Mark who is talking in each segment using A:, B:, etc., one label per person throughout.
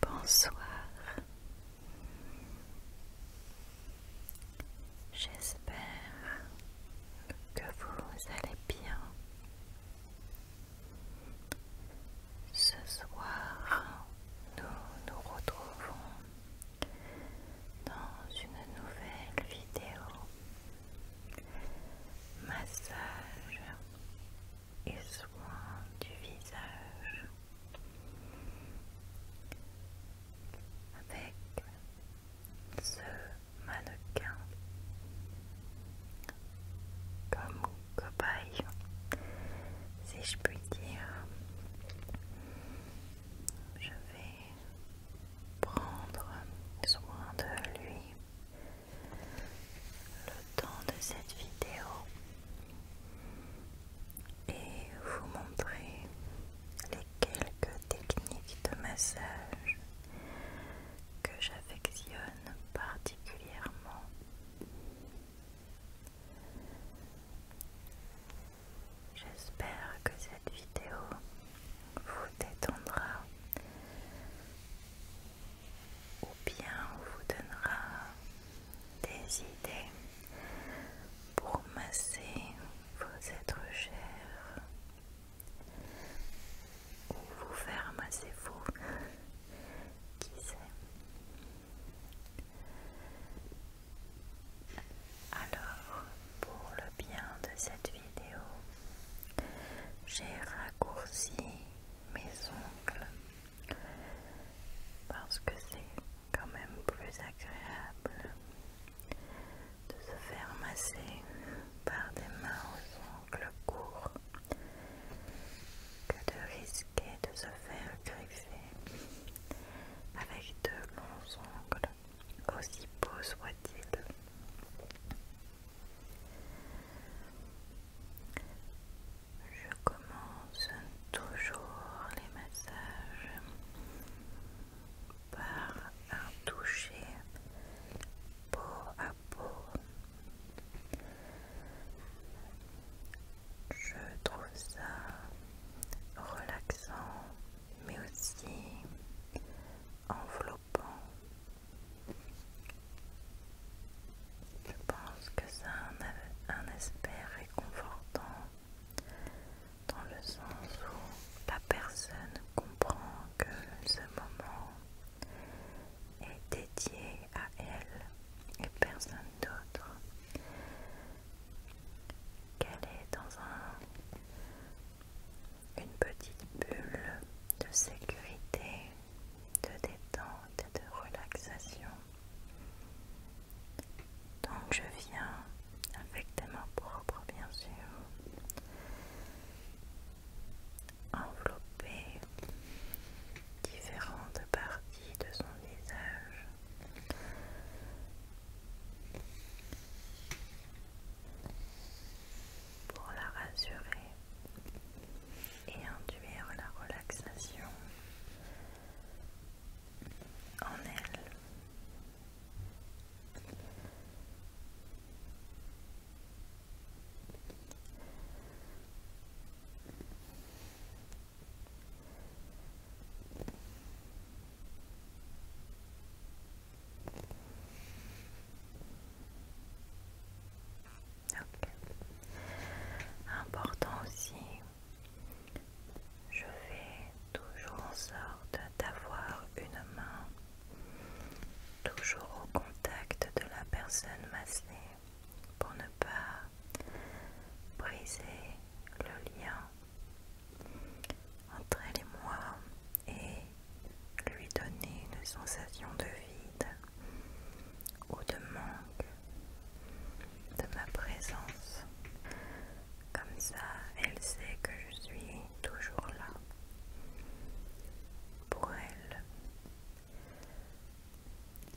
A: Bonsoir, J'espère que vous allez bien. Ce soir, nous nous retrouvons dans une nouvelle vidéo. Massage et soin du visage avec ce mannequin comme cobaye si je puis dire je vais prendre soin de lui le temps de cette vidéo et vous montrer les quelques techniques de massage que j'affectionne particulièrement. J'espère que cette vidéo vous détendra ou bien vous donnera des idées pour masser vos êtres chers ou vous faire masser vous, qui sait. Alors, pour le bien de cette vidéo, j'ai raccourci mes ongles parce que c'est quand même plus agréable de se faire masser par des mains aux ongles courts que de risquer de se faire griffer avec de longs ongles, aussi beaux soient il Je commence toujours les massages par un toucher peau à peau. Je trouve ça relaxant mais aussi enveloppant. Je pense que ça a un, un aspect réconfortant dans le sens où la personne comprend que ce moment est dédié à elle et personne d'autre, qu'elle est dans un, une petite bulle de sécurité, de détente de relaxation donc je viens avec des mains propres bien sûr envelopper différentes parties de son visage. Pour la rassurer et induire la relaxation en elle. Important aussi je fais toujours en sorte d'avoir une main toujours au contact de la personne massée pour ne pas briser le lien entre elle et moi et lui donner une sensation de vide ou de manque de ma présence. Comme ça, elle sait que je suis toujours là pour elle,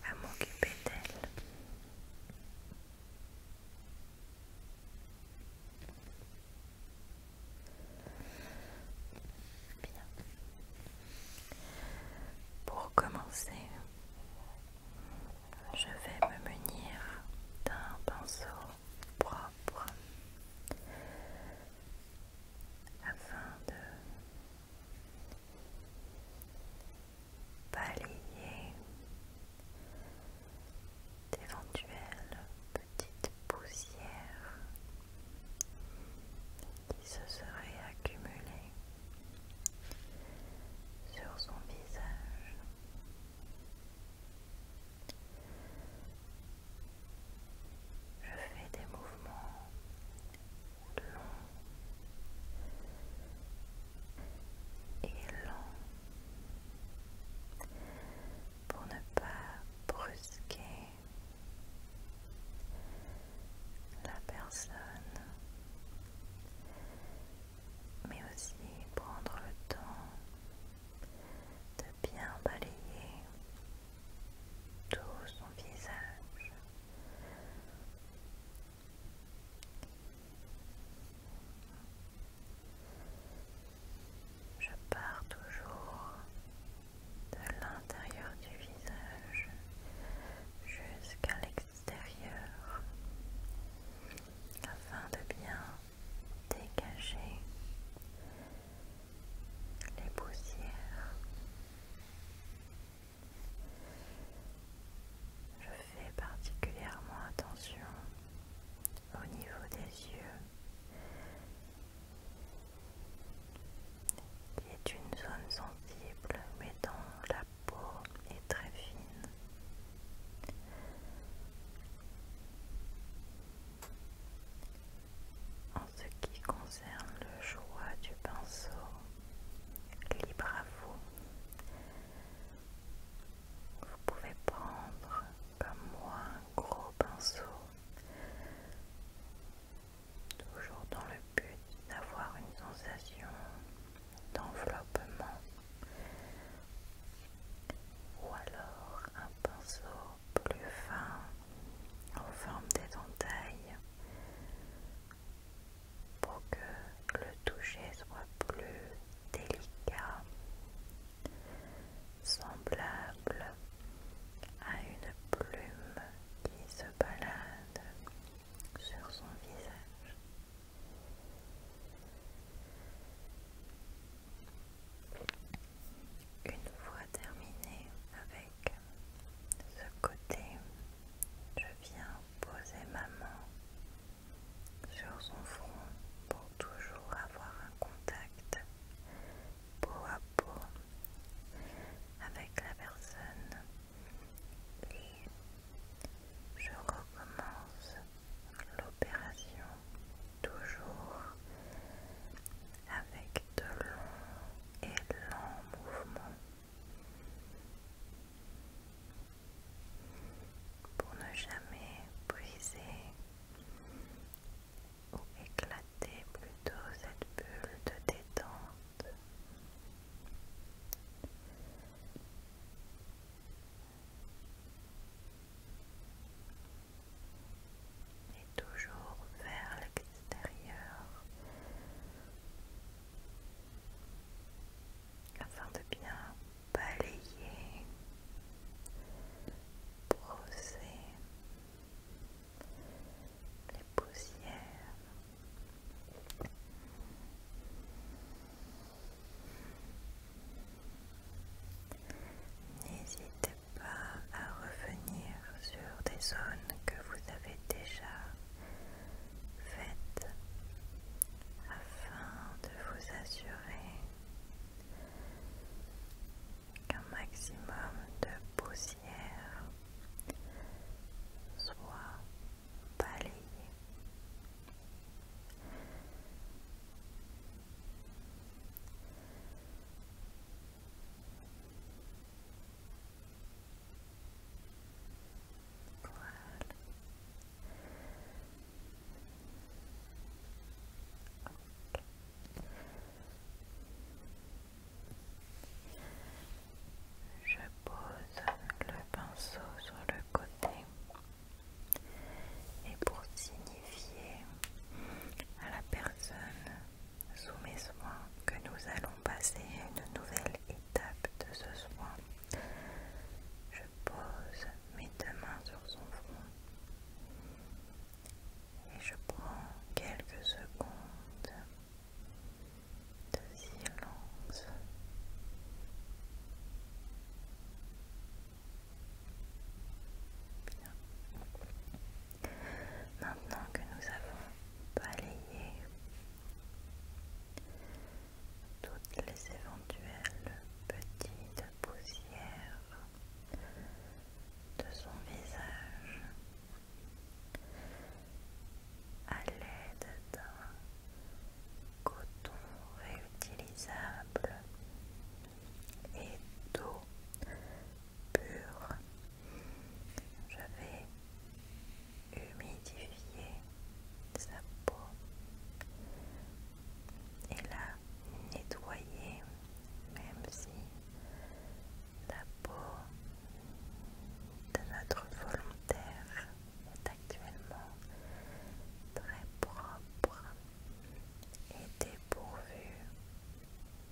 A: à m'occuper d'elle. Bien. Pour commencer, je vais me munir d'un pinceau propre afin de balayer d'éventuelles petites poussières qui se seraient accumulées sur son visage je fais des mouvements longs et lents pour ne pas brusquer la personne mais aussi prendre le temps de bien balayer tout son visage. Je pars toujours de l'intérieur du visage jusqu'à l'extérieur afin de bien dégager les poussières. Je fais particulièrement attention au niveau des yeux qui est une zone sensible mais dans la et et très fine. En ce qui concerne le choix du pinceau, libre à vous. Vous pouvez prendre comme moi un gros pinceau, toujours dans le but d'avoir une sensation d'enveloppement ou alors un pinceau plus fin en forme d'éventail pour que le toucher soit plus délicat, semblable à une plume qui se balade sur son visage. Une fois terminé avec ce côté, je viens poser ma main sur son front pour toujours avoir un contact peau à peau avec la personne et je recommence l'opération toujours avec de longs et lents mouvements pour ne jamais briser ou éclater plutôt cette bulle de détente et toujours vers l'extérieur afin de bien balayer, brosser les poussières. N'hésitez pas à revenir sur des zones que vous avez déjà faites afin de vous assurer qu'un maximum de poussière soit je pose le pinceau sur le côté et pour signifier à la personne sous mes soins que nous allons passer à une nouvelle étape de ce soin. Je pose mes deux mains sur son front et je prends quelques secondes de silence Maintenant que nous avons balayé toutes les éventuelles petites poussières de son visage à l'aide d'un coton réutilisable et d'eau pure. Je vais humidifier sa peau et la nettoyer même si la peau de notre volontaire actuellement très propre et dépourvu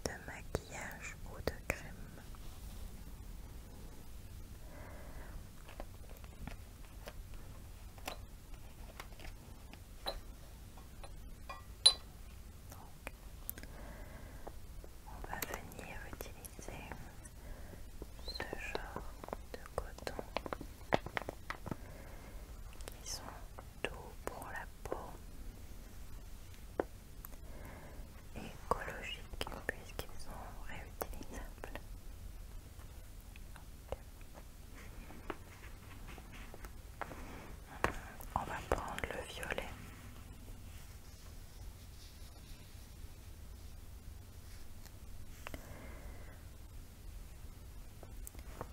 A: de maquillage ou de crème. on va venir utiliser ce genre de coton ils sont doux pour la peau écologiques puisqu'ils sont réutilisables. On va prendre le violet.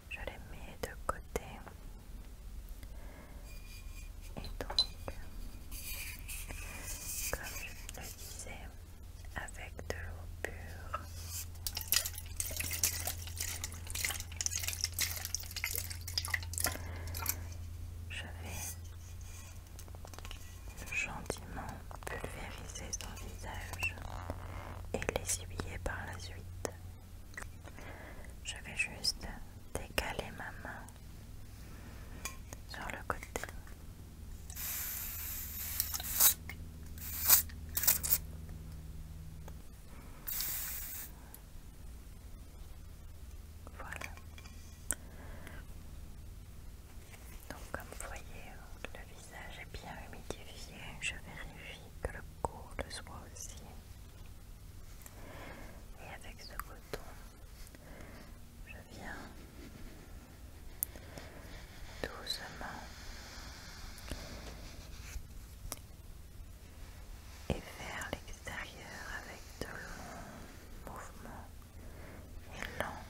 A: Je les mets de côté. Et donc, comme je le disais, avec de l'eau pure, je vais gentiment pulvériser son visage et les l'essuyer par la suite. Je vais juste décaler ma main sur le côté. Voilà. Donc comme vous voyez, le visage est bien humidifié. Je vérifie que le cou le soit aussi. Et avec ce coton, je viens doucement et vers l'extérieur avec de longs mouvements et lents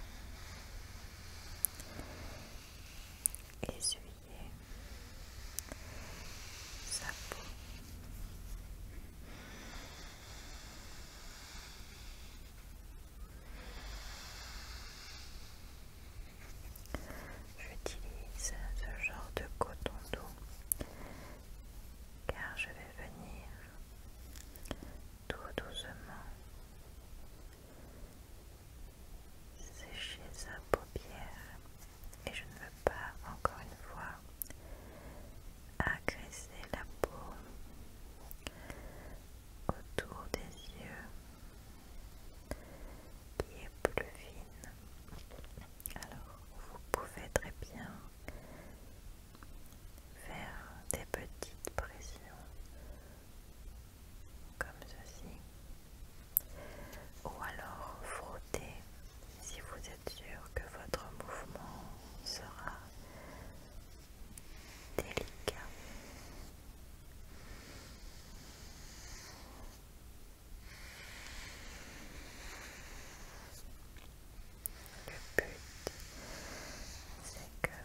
A: essuyer sa peau. J'utilise ce genre de coton doux car je vais venir tout doucement sécher sa paupière et je ne veux pas, encore une fois, agresser la peau autour des yeux qui est plus fine. Alors, vous pouvez très bien faire des petites pressions comme ceci, ou alors frottez si vous êtes sûr que votre mouvement sera délicat. Le but, c'est que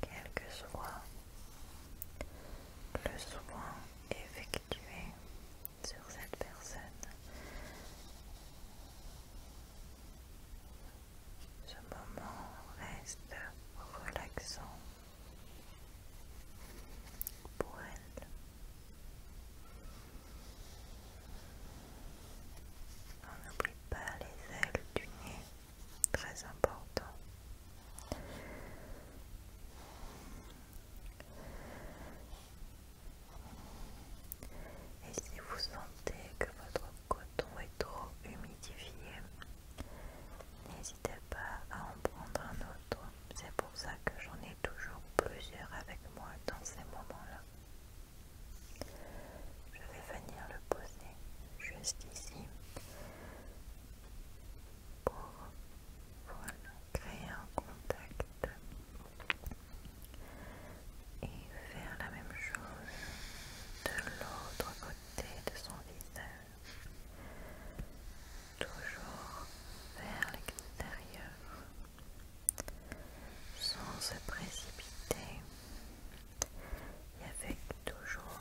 A: quel que soit le soin effectué sur cette personne, ce moment reste relaxant pour elle. On n'oublie pas les ailes du nez très important. Et si vous sentez que votre coton est trop humidifié, n'hésitez pas à en prendre un autre. C'est pour ça que j'en ai toujours plusieurs avec moi dans ces moments-là. Je vais venir le poser juste ici pour créer un contact et faire la même chose de l'autre côté de son visage toujours vers l'extérieur sans se précipiter et avec toujours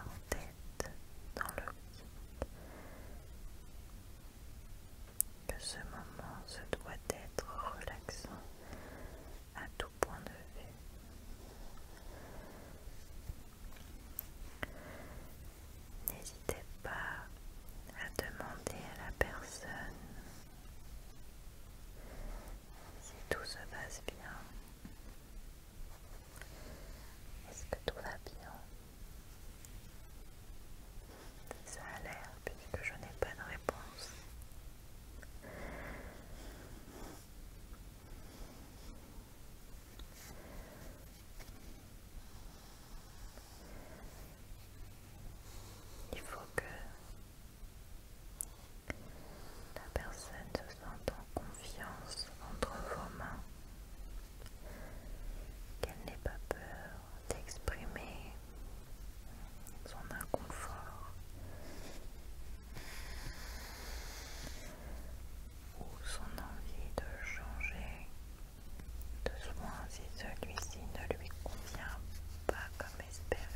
A: en tête dans le le... que ce moment se doit être relaxant à tout point de vue. N'hésitez pas à demander à la personne si tout se passe bien. Est-ce que tout va bien Ça a l'air puisque je n'ai pas de réponse. Il faut que la personne se sent en confiance entre vos mains, qu'elle n'ait pas peur d'exprimer son inconfort ou son envie de changer de soin si celui-ci ne lui convient pas comme espéré.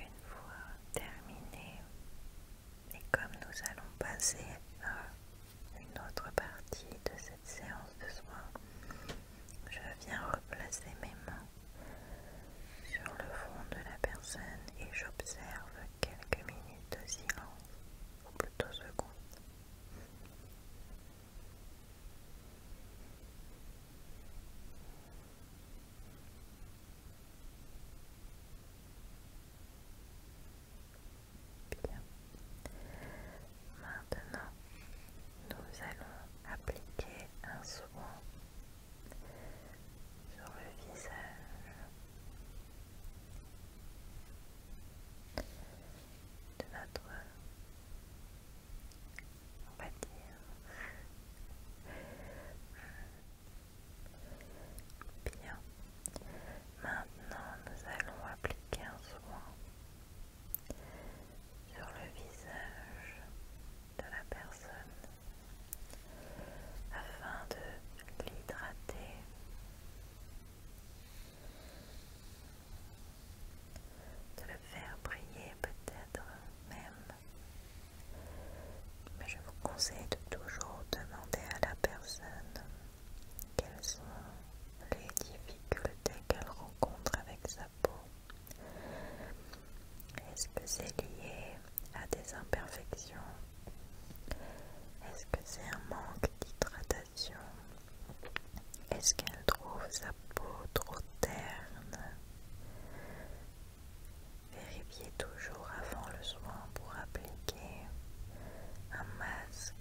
A: Une fois terminé, et comme nous allons passer à euh, une autre partie de cette séance de soin, je viens replacer mes mains sur le front de la personne et j'observe quelques minutes de silence, ou plutôt secondes. Bien. Maintenant, nous allons appliquer un soin sur le visage. De notre, on va dire, bien. Maintenant, nous allons appliquer un soin sur le visage de la personne afin de l'hydrater. De le faire briller peut-être même. Mais je vous conseille de toujours demander à la personne quelles sont les difficultés qu'elle rencontre avec sa peau Est-ce que c'est lié à des imperfections Est-ce que c'est un manque d'hydratation Est-ce qu'elle trouve sa peau trop terne Vérifiez toujours avant le soin pour appliquer un masque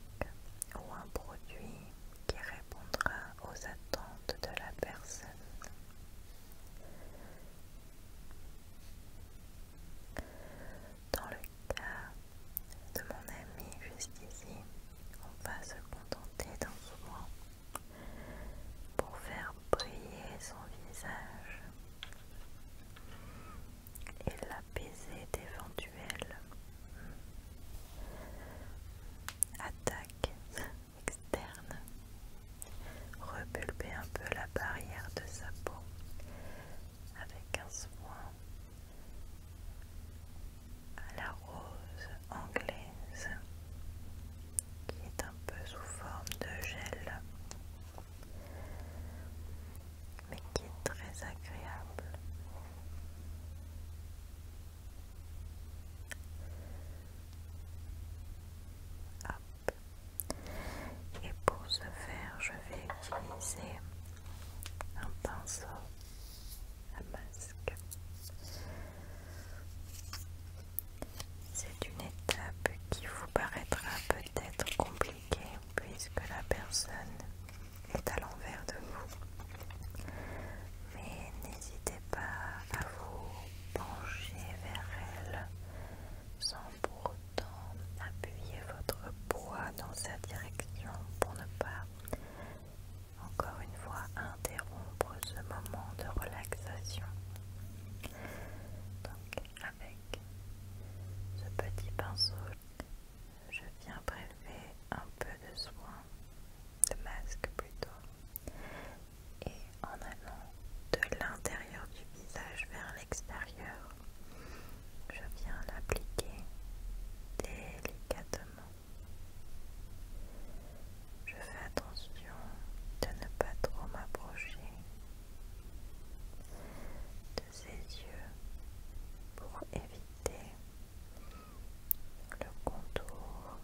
A: ou un produit qui répondra aux attentes de la personne. Dans le cas de mon ami jusqu'ici, on va se contenter d'un soin pour faire briller son visage et l'apaiser d'éventuellement attaque externe, repulper un peu la barrière de sa peau avec un soin à la rose anglaise qui est un peu sous forme de gel mais qui est très agréable. Et pour ce faire, je vais utiliser un pinceau à masque. C'est une étape qui vous paraîtra peut-être compliquée puisque la personne est à l'envers de vous. Mais n'hésitez pas à vous pencher vers elle sans pour autant appuyer votre poids dans sa direction pour ne pas encore une fois interrompre ce moment de relaxation. Donc avec ce petit pinceau, je viens prélever un peu de soin, de masque plutôt, et en allant de l'intérieur du visage vers l'extérieur, je viens l'appliquer délicatement. Je fais attention de ne pas trop m'approcher de ses yeux pour éviter le contour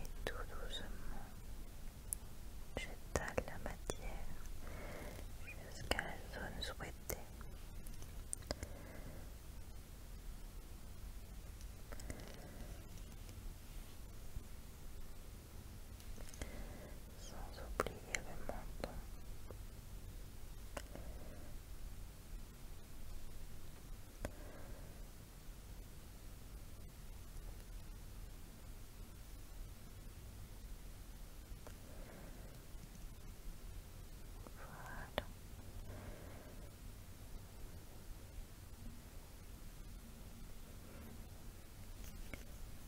A: et tout doucement j'étale la matière jusqu'à la zone souhaitée sans oublier le menton. Voilà.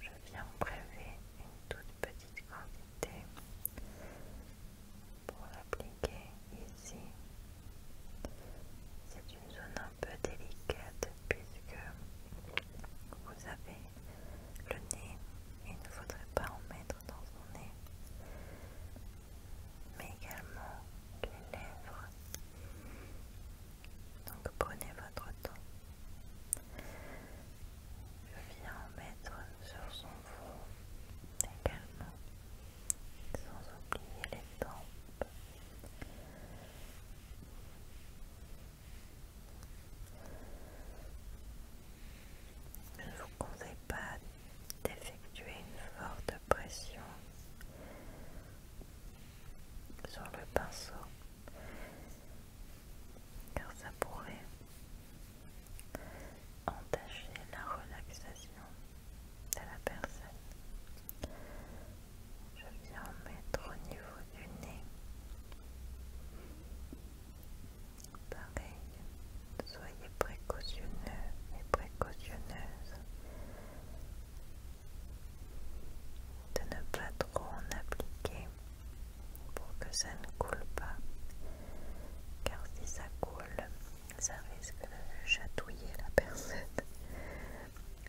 A: Je viens prélever une toute petite quantité pour l'appliquer ici. C'est une zone un peu délicate puisque vous avez le nez, il ne faudrait pas en mettre dans son nez, mais également les lèvres. Donc prenez votre temps. Je viens en mettre sur son front également, sans oublier les tempes. Je ne vous conseille pas d'effectuer une forte pression sur le pinceau car ça pourrait entacher la relaxation de la personne. Je viens mettre au niveau du nez. Pareil, soyez précautionneux et précautionneuse de ne pas trop en appliquer pour que ça ne coule pas car si ça coule ça risque de chatouiller la personne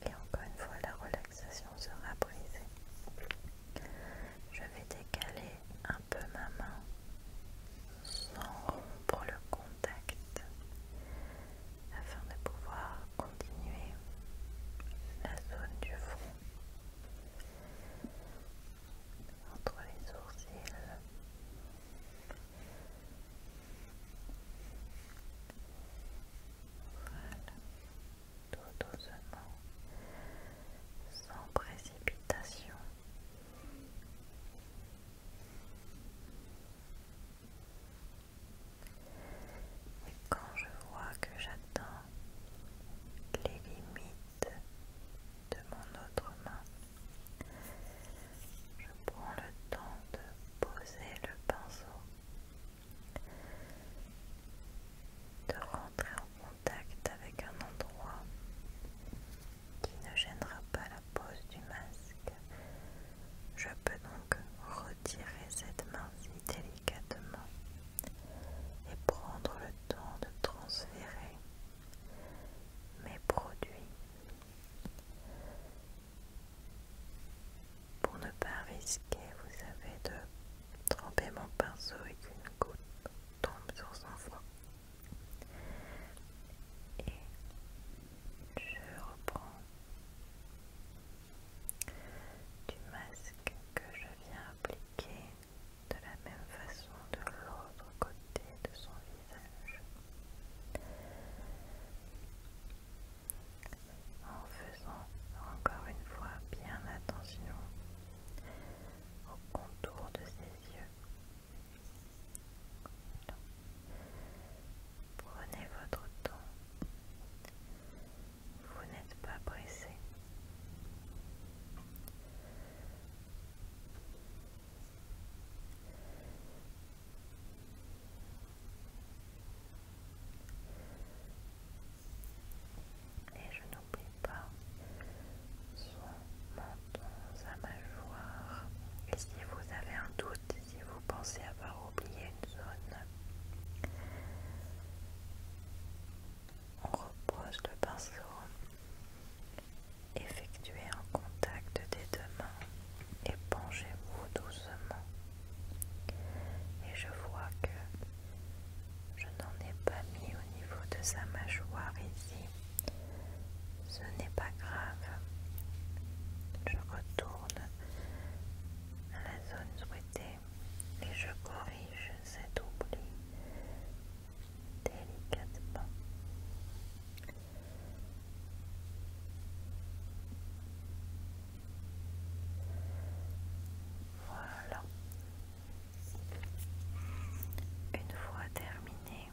A: et encore une fois la relaxation sera brisée je vais décaler un peu ma main sans rompre le contact afin de pouvoir continuer la zone du front entre les sourcils. tout doucement, sans précipitation. Et quand je vois que j'attends les limites de mon autre main. Je prends le temps de poser le pinceau, de rentrer en contact avec un endroit qui ne gênera pas la pose du masque. Je peux donc retirer cette main si délicatement et prendre le de transférer mes produits pour ne pas risquer, vous savez, de tremper mon pinceau et qu'une goutte tombe sur son foie. Et je reprends du masque que je viens appliquer de la même façon de l'autre côté de son visage. En faisant encore une fois bien attention au contour de ses yeux. Prenez votre temps. Vous n'êtes pas pressé. Et je n'oublie pas son menton, sa mâchoire. Et si vous avez un doute, si vous pensez avoir oublié une zone, on repose le pinceau Effectuez un contact des deux mains et penchez-vous doucement. Et je vois que je n'en ai pas mis au niveau de sa mâchoire ici. Ce n'est pas grave. Je retourne à la zone souhaitée et je corrige cet oubli délicatement. Voilà. Une fois terminé,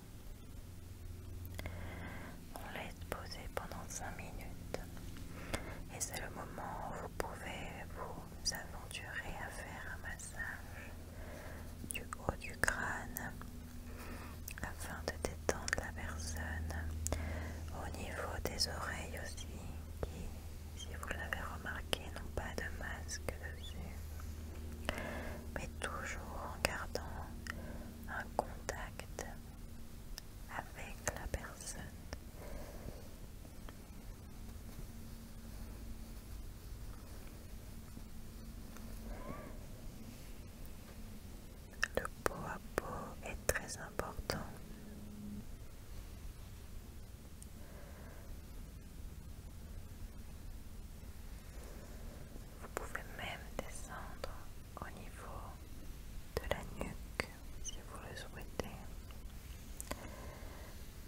A: on laisse poser pendant 5 minutes et c'est le moment où vous pouvez vous vous aventurez à faire un massage du haut du crâne afin de détendre la personne au niveau des oreilles aussi qui si vous l'avez remarqué n'ont pas de masque dessus mais toujours en gardant un contact avec la personne le pot à peau est très important. Vous pouvez même descendre au niveau de la nuque si vous le souhaitez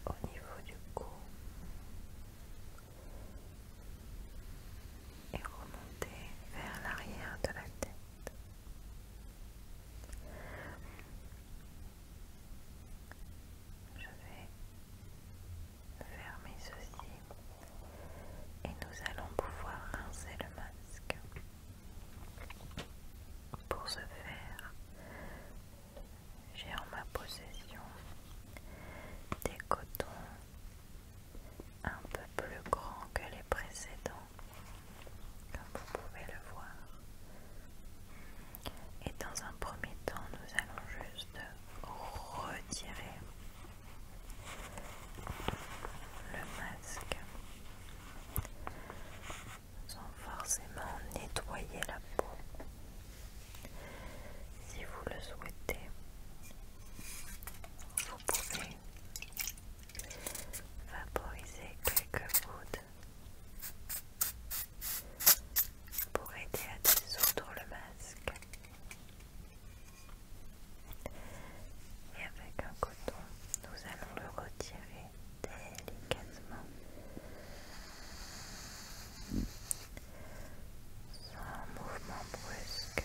A: au niveau du cou et remonter vers l'arrière de la tête. Je vais fermer ceci et nous allons pouvoir rincer le masque. Pour ce faire, j'ai en ma possession des cotons un peu plus grands que les précédents, comme vous pouvez le voir. Et dans un premier temps, nous allons juste retirer le masque sans forcément nettoyer la peau. Si vous le souhaitez, vous pouvez vaporiser quelques gouttes pour aider à dissoudre le masque. Et avec un coton, nous allons le retirer délicatement un mouvement brusque.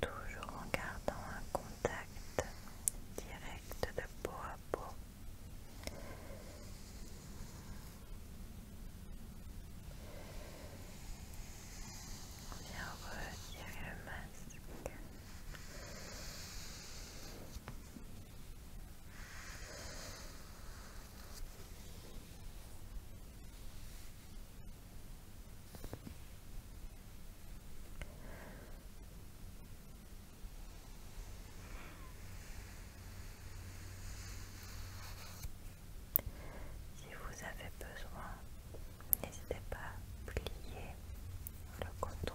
A: Toujours en gardant un contact direct de peau à peau vient retirer le masque. Si vous avez besoin N'hésitez pas à plier le coton.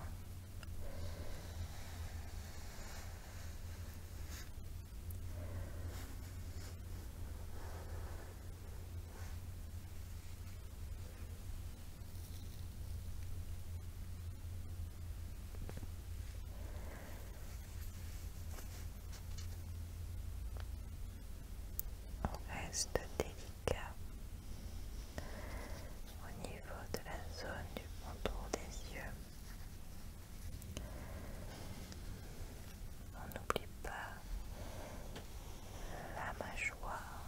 A: reste délicat au niveau de la zone du contour des yeux. On n'oublie pas la mâchoire.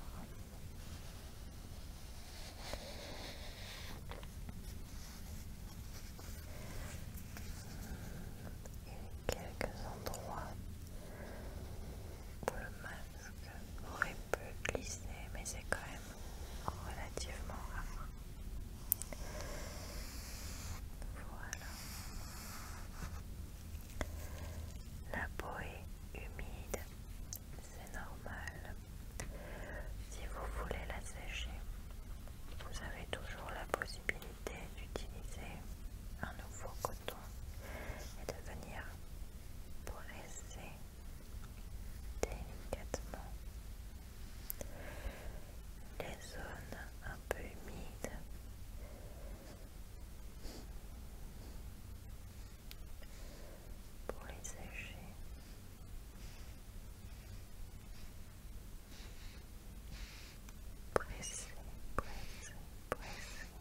A: Et quelques endroits le masque aurait pu glisser, mais c'est quand même relativement rare. Voilà. La peau est humide, c'est normal. Si vous voulez la sécher, vous avez toujours la possibilité d'utiliser un nouveau côté et de venir presser délicatement les zones un peu humides pour les sécher.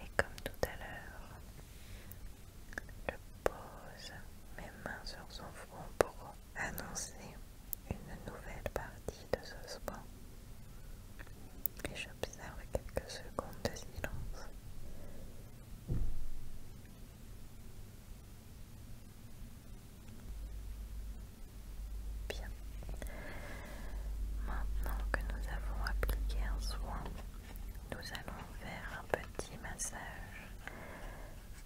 A: Et comme tout à l'heure, je pose mes mains sur son front pour annoncer une nouvelle partie de ce soin et j'observe quelques secondes de silence. Bien. Maintenant que nous avons appliqué un soin, nous allons faire un petit massage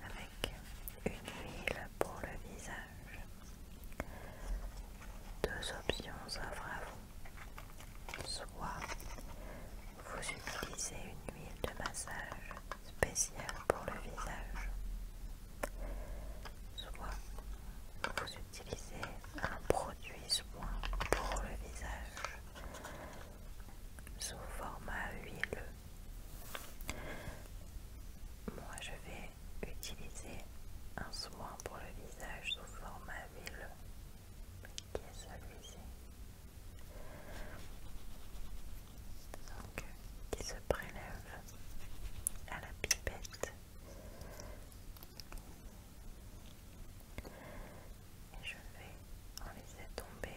A: avec une huile pour le visage. Deux options offrent à vous. Soit vous utilisez une huile de massage spéciale pour le visage, soit vous utilisez un produit soin pour le visage sous format huileux. Moi, je vais utiliser un soin pour le visage sous format avile qui est celui-ci, qui se prélève à la pipette. Et je vais en laisser tomber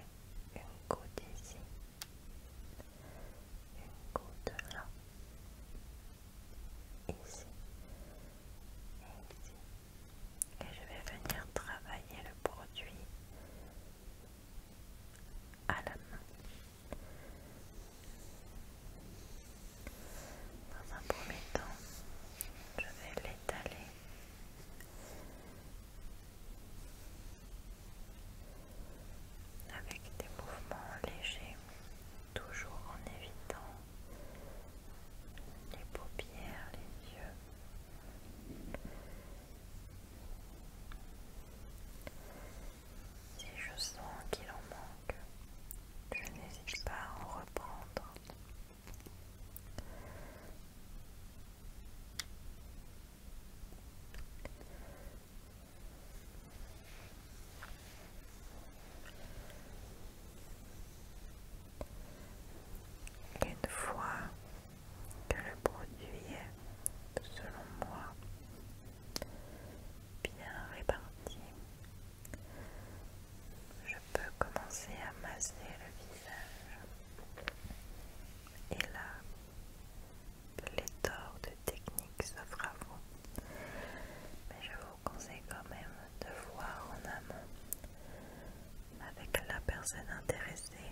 A: une goutte ici une goutte là, ici et ici. Et je vais venir travailler le produit à la main. Dans un premier temps, je vais l'étaler avec des mouvements légers, toujours en évitant les paupières, les yeux. Si je sens qu'il en manque, je n'hésite pas à en reprendre. Une fois que le produit est, selon moi, bien réparti, je peux commencer à masser le visage. Et là, pléthore de techniques s'offrent à vous. Mais je vous conseille quand même de voir en amont avec la personne intéressée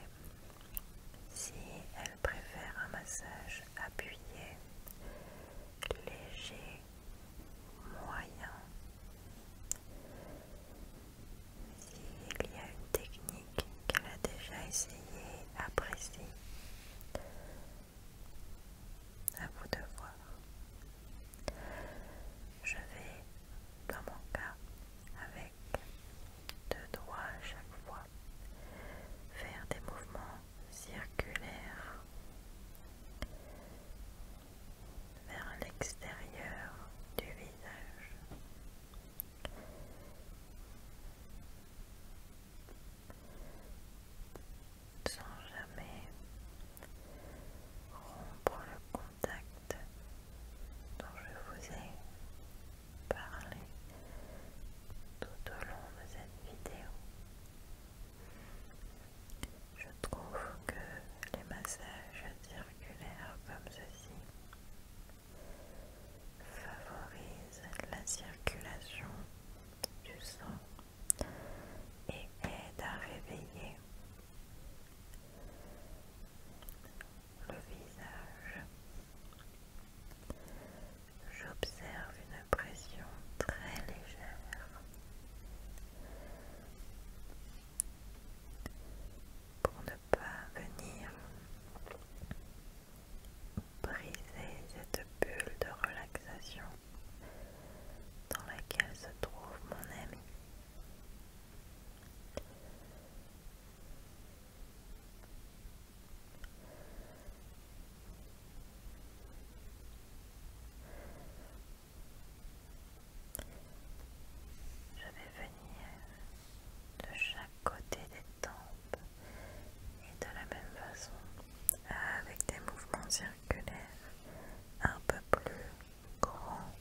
A: si elle préfère un massage appuyé, léger, moyen. S'il y a une technique qu'elle a déjà essayée, appréciée, à vous de voir. Je vais, dans mon cas, avec deux doigts à chaque fois, faire des mouvements circulaires vers l'extérieur du visage sans jamais rompre le contact dont je vous ai parlé tout au long de cette vidéo. Je trouve que les massages circulaires comme ceci favorisent la circulation du sang et aide à réveiller le visage. J'observe une pression très légère pour ne pas venir briser cette bulle de relaxation dans laquelle se trouve mon ami. Je vais venir de chaque côté des tempes et de la même façon, avec des mouvements circulaires un peu plus grands,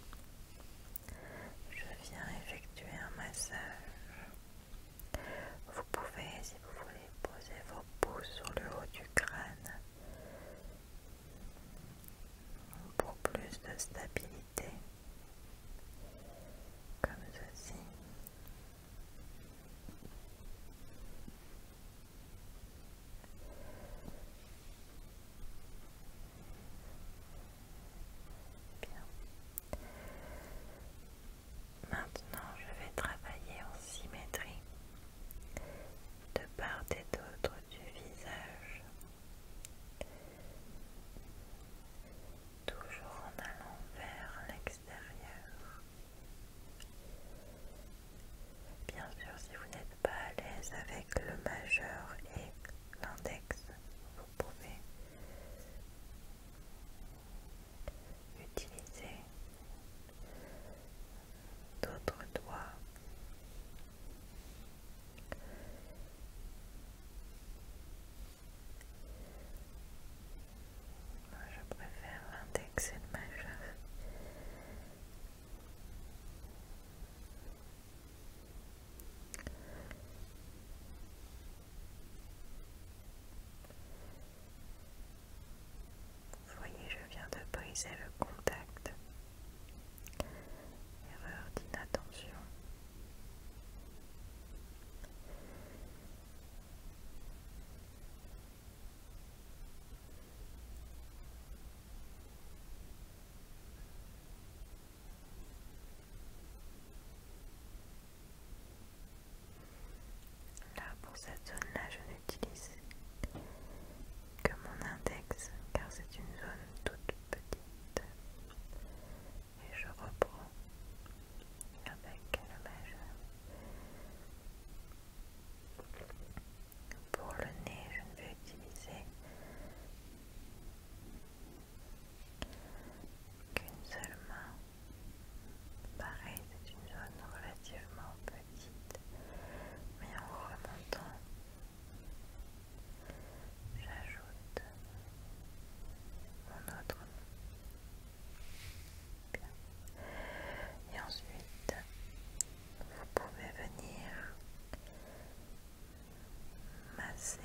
A: je viens effectuer un massage. Vous pouvez, si vous voulez, poser vos pouces sur le haut du crâne pour plus de stabilité, comme ceci. Maintenant, je vais travailler en symétrie de part et d'autre du visage, toujours en allant vers l'extérieur. Bien sûr, si vous n'êtes pas à l'aise avec le majeur et l'index, vous pouvez utiliser d'autres doigts je préfère l'index et le majeur. voyez, je viens de briser le contact. Erreur d'inattention. Là pour cette zone là je n'utilise que mon index car c'est une zone toute petite et je reprends avec le majeur. Pour le nez, je ne vais utiliser qu'une seule main. Pareil, c'est une zone relativement petite, mais en remontant, j'ajoute mon autre et ensuite, vous pouvez venir masser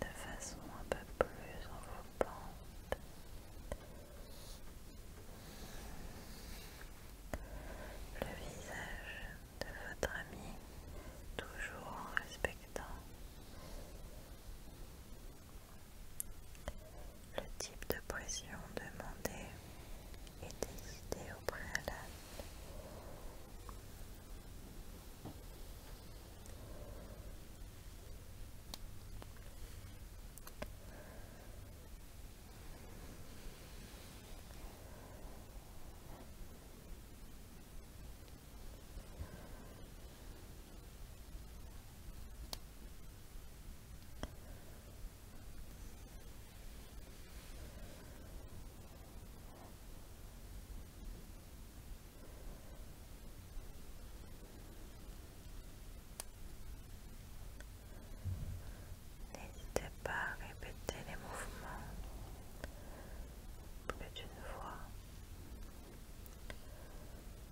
A: de façon un peu plus enveloppante le visage de votre ami toujours en respectant le type de pression demandé est décidé au préalable. N'hésitez pas à répéter les mouvements plus d'une fois.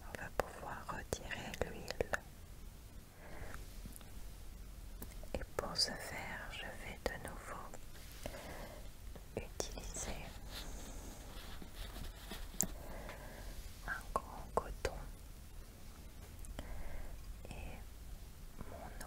A: On va pouvoir retirer l'huile. Et pour ce faire, je vais de nouveau utiliser un grand coton et mon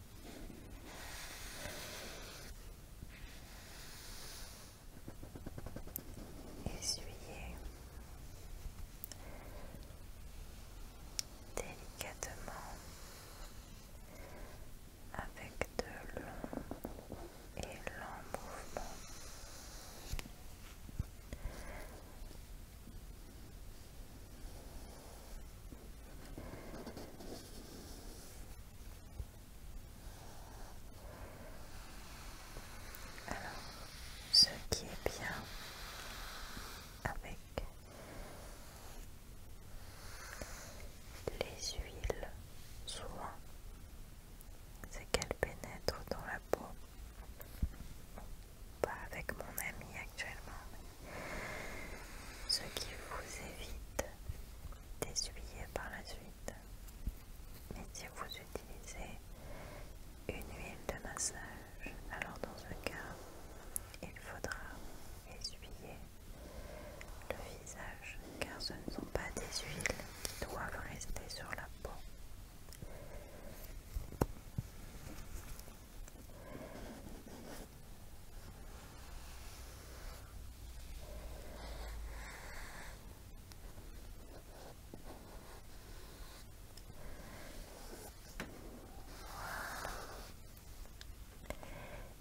A: Essuyez délicatement avec de longs et lents mouvements. Alors, ce qui est bien avec les huiles souvent, c'est qu'elles pénètrent dans la peau. Pas avec mon ami actuellement, ce qui vous évite d'essuyer par la suite. Mais si vous utilisez une huile de massage, alors dans ce cas, il faudra essuyer le visage car ce ne sont pas des huiles qui doivent rester sur la peau.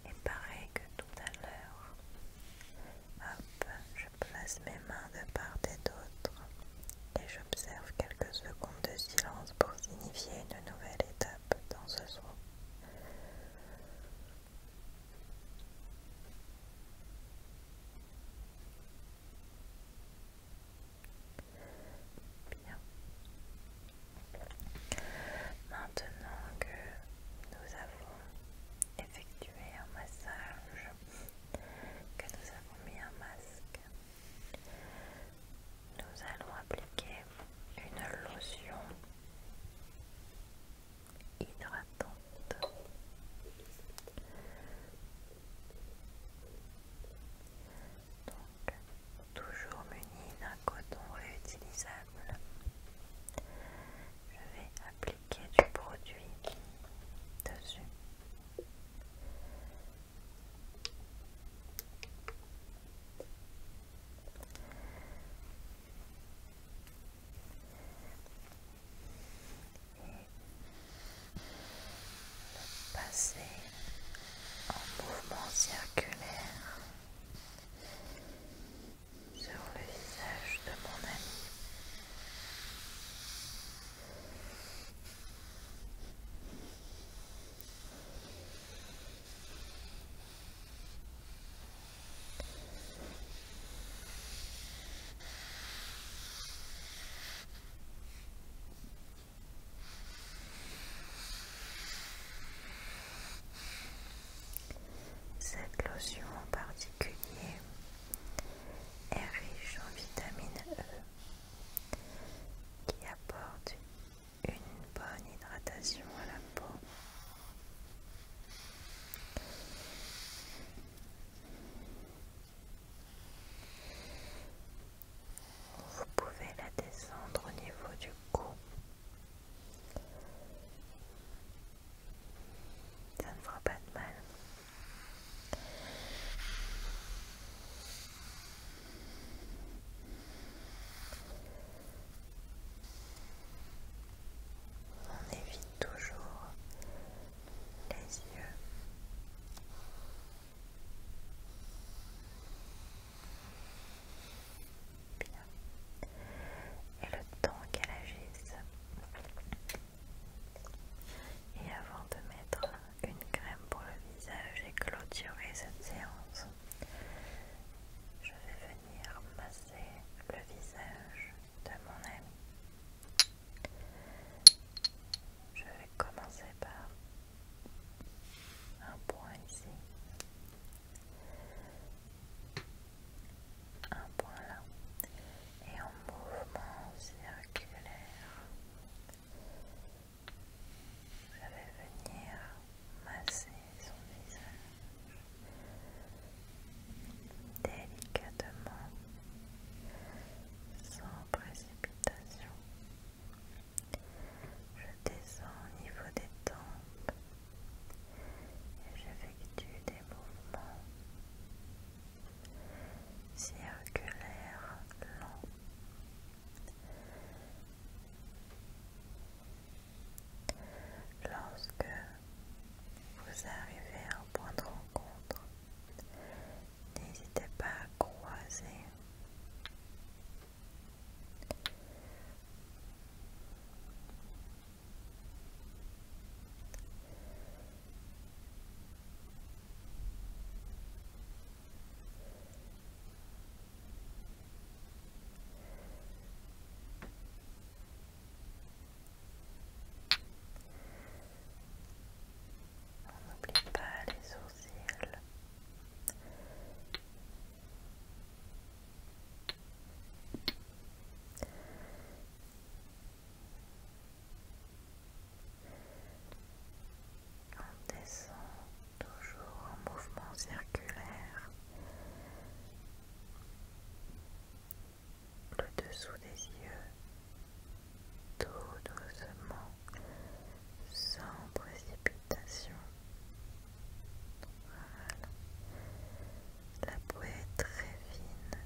A: Et pareil que tout à l'heure, je place mes mains de part et d'autre et j'observe quelques secondes de silence pour signifier une nouvelle étape dans ce soir. Bien. Maintenant que nous avons effectué un massage, que nous avons mis un masque, nous allons appliquer une lotion hydratante. Donc, toujours muni d'un coton réutilisable, je vais appliquer du produit dessus passer en mouvement circulaire sur le visage de mon ami. Cette lotion en particulier est riche en vitamine E qui apporte une bonne hydratation à la peau. Vous pouvez la descendre au niveau du cou. Ça ne fera pas de mal. On évite toujours les yeux. Et le temps qu'elle agisse. Et avant de mettre une crème pour le visage et clôturer cette séance, je vais venir masser le visage de mon ami. Je vais commencer par un point ici, un point là, et en mouvement circulaire, je vais venir masser son visage délicatement, sans précipitation. Je descends au niveau des tempes et j'effectue des mouvements circulaires lents. Lorsque vous arrivez à un point de rencontre, n'hésitez pas à croiser on n'oublie pas les sourcils. On descend toujours en mouvement circulaire le dessous des yeux tout doucement sans précipitation la peau est très fine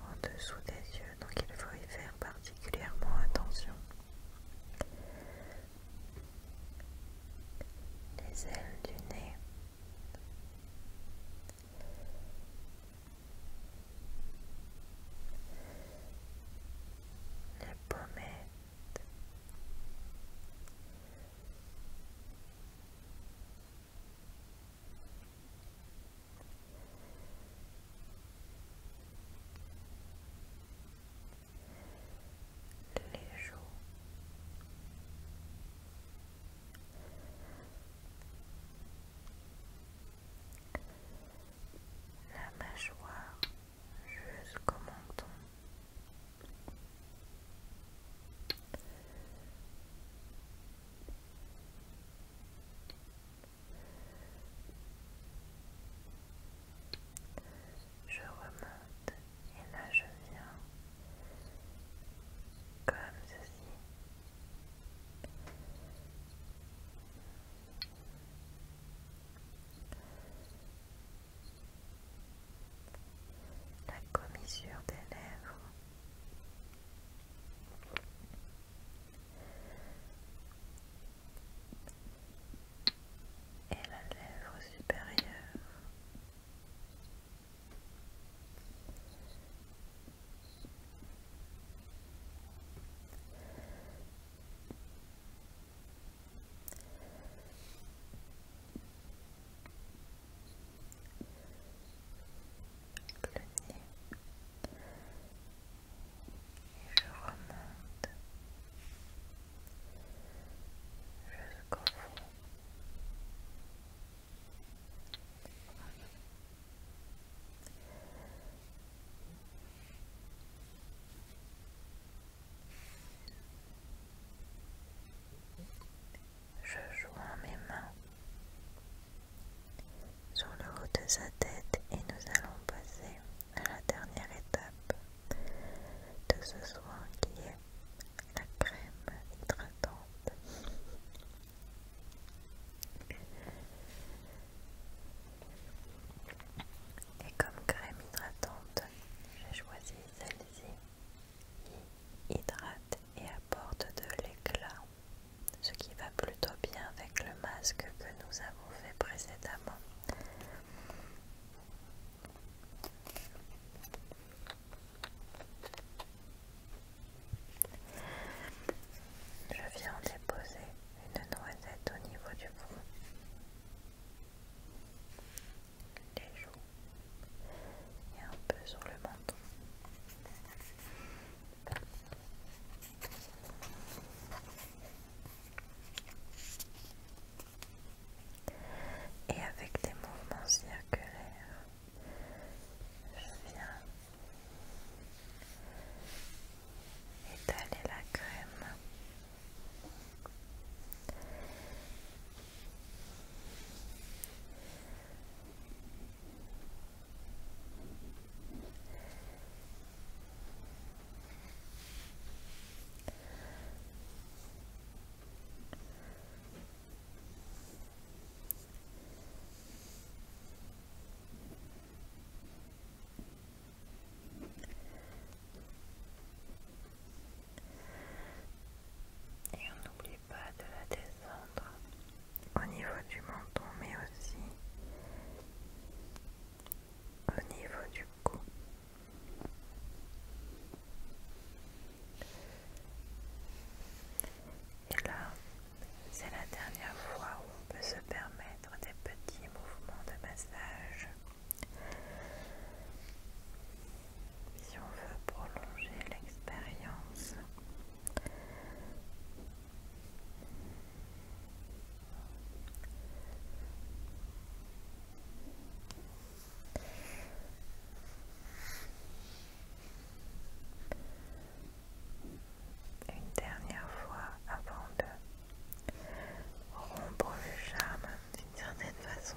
A: en dessous des yeux donc il faut y faire particulièrement attention les ailes du nez, les pommettes, les joues. La mâchoire jusqu'au menton je remonte et là je viens comme ceci. La commissure des lèvres et la lèvre supérieure. Le nez. Et je remonte je Je joins mes mains sur le haut de sa tête et nous allons passer à la dernière étape de ce soin qui est la crème hydratante. Et comme crème hydratante, j'ai choisi celle-ci qui hydrate et apporte de l'éclat, ce qui va plutôt bien avec le masque que nous avons fait précédemment. Je viens déposer une noisette au niveau du front, les joues et un peu sur le menton. Et avec des mouvements circulaires, je viens étaler la crème. Et on n'oublie pas de la descendre au niveau du menton, mais aussi au niveau du cou. Et là, c'est la dernière fois où on peut se permettre des petits mouvements de massage. Si on veut prolonger l'expérience. Une dernière fois avant de rompre le charme d'une certaine façon.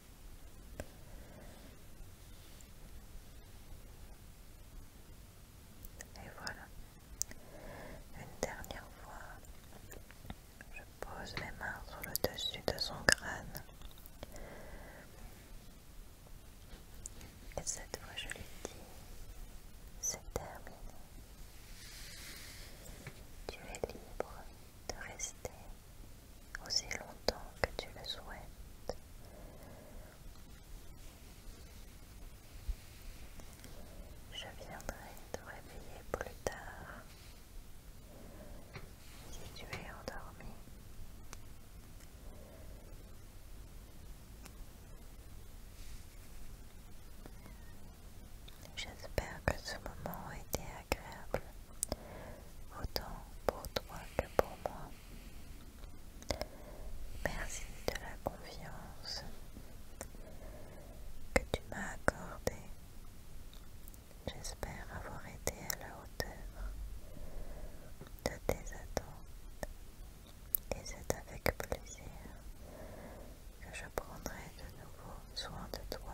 A: Et voilà. Une dernière fois, je pose mes mains sur le dessus de son crâne. Et cette fois, je lui dis, c'est terminé. Tu es libre de rester aussi longtemps que tu le souhaites. Je viendrai te réveiller plus tard si tu es endormi. J'espère que ce moment a été agréable autant pour toi que pour moi. Merci de la confiance que tu m'as accordée. J'espère avoir été à la hauteur de tes attentes et c'est avec plaisir que je prendrai de nouveau soin de toi